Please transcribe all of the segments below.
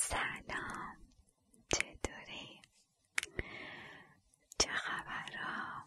سلام چطوری؟ چه خبر ها؟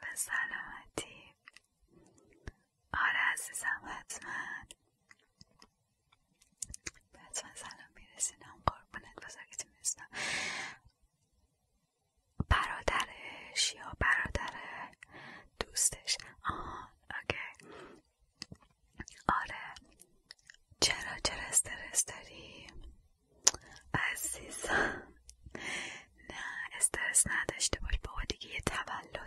به سلامتی آره عزیزم حتما حتما سلام میرسینم قربونت بزرگیت میرسینم برادرش یا برادر دوستش اوکی آره چرا چرا استرس داری عزیزم نه استرس نداشته باش بابا دیگه یه تولده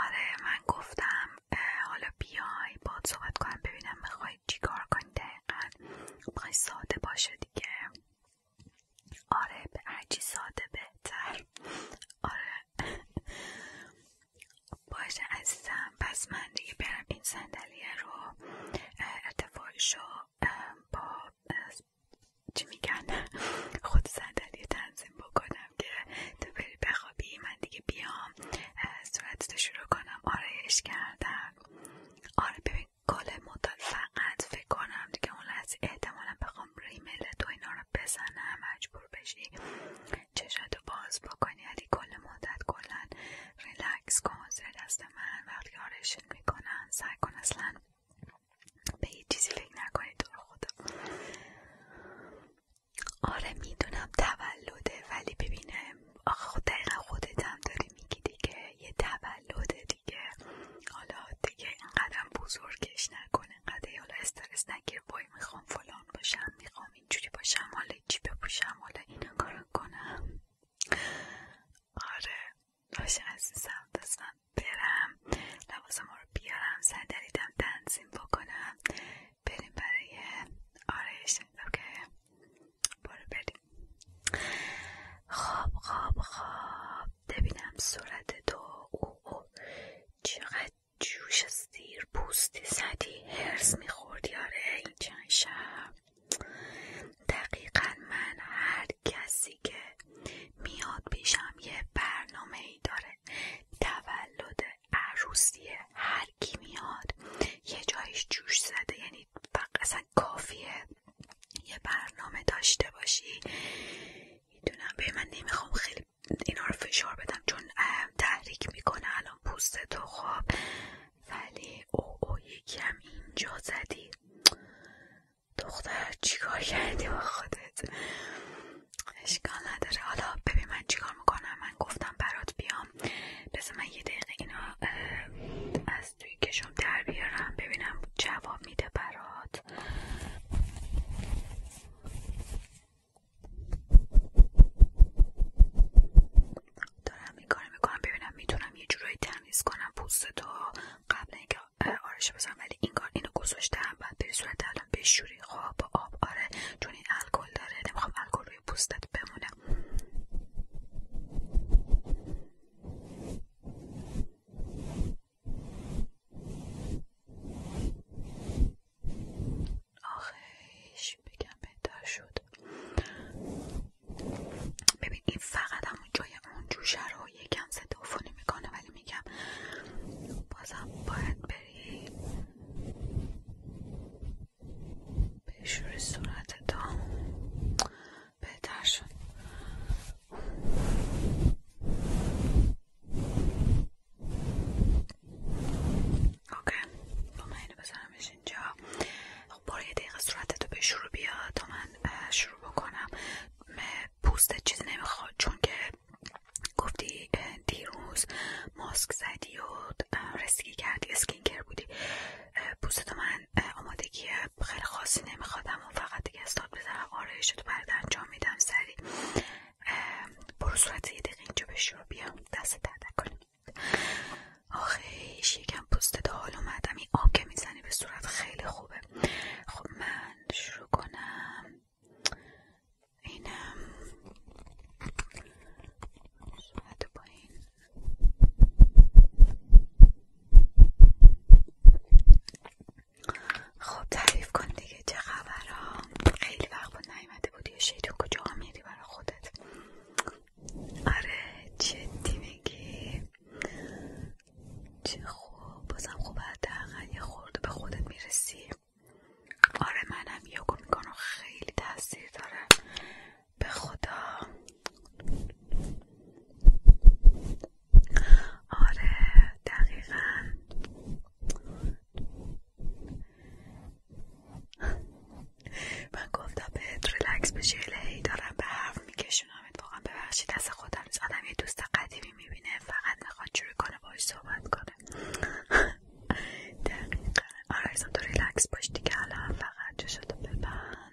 آره من گفتم حالا بیای باید صحبت کنم ببینم میخوای چیکار کنی دقیقا میخوای ساده باشه دیگه آره به هرچی ساده بهتر آره باشه عزیزم پس من دیگه برم این صندلیه رو ارتفاعش رو با چی میگن خود صندلی تنظیم بکنم که تو بری بخوابی من دیگه بیام صورتتو شروع کنم آرایش کردم آره ببین کل فقط فکر کنم دیگه اون لحظه احتمالا بخوام ریمل تو اینا رو بزنم مجبور بشی چشاتو باز بکنی علی کل مدت کلا ریلکس کن زیر دست من وقتی آرشن میکنم سعی کن اصلا به هیچ چیزی فکر نکنی تو خودم آره میدونم تولده ولی ببینم آخه خود خب خودت هم داری میگی دیگه یه تولده دیگه حالا دیگه اینقدر بزرگش نکن اینقدر حالا استرس نگیر بای میخوام فلان باشم میخوام اینجوری باشم حالا چی بپوشم حالا اینا کارو کنم آره این عزیزم دستم برم لباسم رو بیارم صندلیدم تنظیم بکنم بریم برای آرایش اوکی برو بریم خواب خواب خواب ببینم صورت تو او چقدر جوش سیر پوستی زدی هرس میخوردی آره این چند شب دقیقا من هر کسی که میاد پیشم یه برنامه ای داره تولد عروسی هر کی میاد یه جایش جوش زده یعنی اصلا کافیه یه برنامه داشته باشی میدونم به من نمیخوام خیلی اینا رو فشار بدم چون تحریک میکنه الان پوست تو خواب ولی او او یکی اینجا زدی دختر چیکار کردی با خودت اشکال نداره حالا ببین من چیکار میکنم من گفتم برات بیام بذار من یه دقیقه اینا از توی کشم در بیارم ببینم جواب میده برات دارم این کار میکنم ببینم میتونم یه جورایی تمیز کنم پوستتو قبل اینکه آرش بزنم ولی این کار اینو گذاشتم بعد به صورت الان بشوری خواب با آب آره چون این الکل داره نمیخوام الکل روی پوستت بمونه آخیش بگم بهتر شد ببین این فقط همون جای اون جوشه رو یکم صدافونی میکنه ولی میگم بازم باید بری به شور صورت تا بهتر شد اوکی من اینو اینجا خب یه دقیقه صورتتو به شروع بیا تا من شروع بکنم پوستت چیز نمیخواد چون که گفتی دیروز ماسک زدی و رسکی کردی کر بودی پوستت من آمادگی خب خیلی خاصی نمیخوادم و فقط دیگه استاد بزنم آرایش تو برد انجام میدم سری برو صورت یه دقیقه اینجا بشی بیام دست درد نکنیم آخیش یکم پوست دهال اومدم این آب که میزنی به صورت خیلی خوبه خب من شروع کنم اینم صورت خب تعریف کن دیگه چه خبر ها خیلی وقت بود نیومده بودی که کجا میری برای خودت آره چه میگی چه خوب بازم خوب حداقل یه خورده به خودت میرسی آره منم یوگو میکنم خیلی تاثیر داره به خدا آره دقیقا من گفتم بهت ریلکس بشی الهی دارم به حرف میکشونم واقعا ببخشید دست خودم از آدم یه دوست قدیمی میبینه فقط میخواد چوری کنه باش صحبت کنه دقیقا آره ازم تو ریلکس باش دیگه الان فقط جوشتو ببند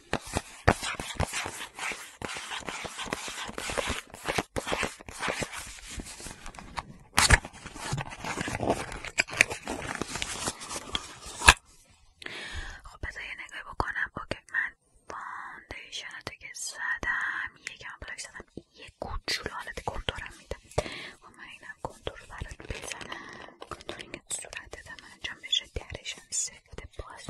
خب بذار یه نگاهی بکنم اوکی من فاندیشناتو که زدم یکم بلاک یه کوچولو حالت میدم و خب، من اینم کنتور رو برات بزنم کنتورینگ انجام بشه سه سفت پلاس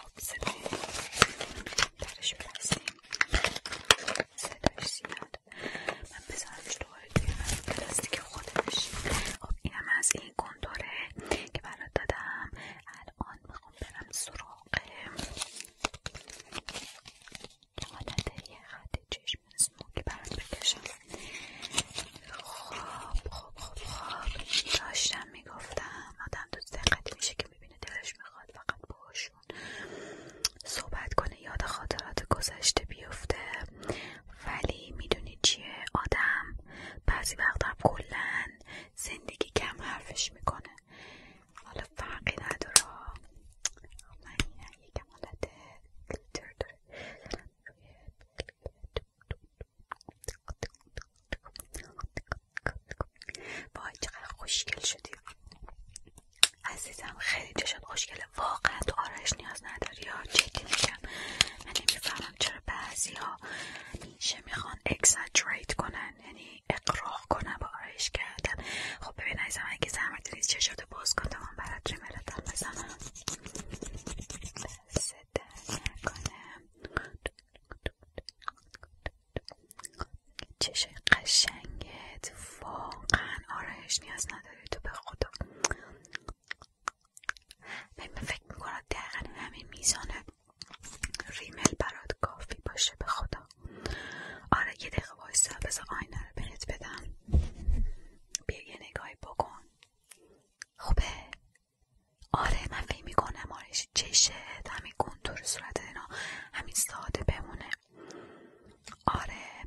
خب صدای درش برسیم صدایش زیاد من بذارمش دوباره توی من پلاستیک خودش خب اینم از این کنتوره که برات دادم الان میخوام برم سراغ یه یه خط چشم اسمو که برات بکشم خب خب خواب داشتم میگفتم آدم دوست دقت میشه که بینه دلش میخواد فقط باشون صحبت کنه یاد خاطرات گذشته بیفته ولی میدونی چیه آدم بعضی وقتا کلا زندگی کم حرفش میکنه حالا فرقی نداره من یکم حالت داره وای چقدر خوشگل شدی عزیزم خیلی چشات خوشگل. واقعا تو آرایش نیاز نداری یا جدی میگم من نمیفهمم چرا بعضی ها میشه میخوان اکساجریت کنن یعنی اقراق کنن با آرایش کردن خب ببین عزیزم اگه زحمت نیست چشات باز کن تا من بزنم دست در چشای قشنگت واقعا آرایش نیاز نداری تو به خدا من فکر میکنم دقیقا همین میزانه ریمل برات کافی باشه به خدا آره یه دقیقه وایسا بذار آینه رو بهت بدم بیا یه نگاهی بکن خوبه آره من فکر میکنم آرش چشه همین کنتور صورت اینا همین ساده بمونه آره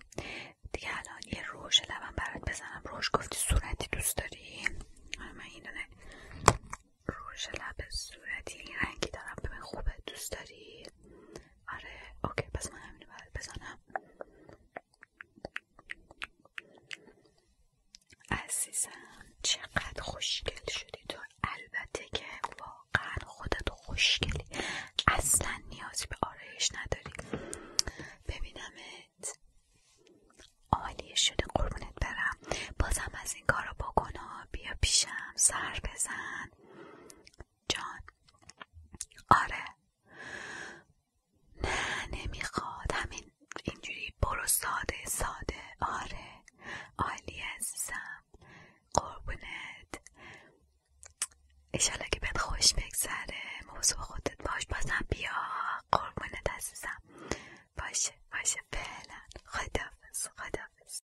دیگه الان یه روش لبم برات بزنم روش گفتی صورتی دوست داری آره، من این دونه روش لب صورتی رنگی دارم ببین خوبه دوست داری آره اوکی پس من همینو باید بزنم عزیزم چقدر خوشگل شدی تو البته که واقعا خودت خوشگلی اصلا نیازی به آرایش نداری ببینمت عالی شده قربونت برم بازم از این کارو بکن بیا پیشم سر بزن جان آره نه نمیخواد همین اینجوری برو ساده ساده آره عالیه عزیزم قربونت ایشالا که بهت خوش بگذره موضوع خودت باش بازم بیا قربونت عزیزم باشه باشه فعلا خدافز خدافز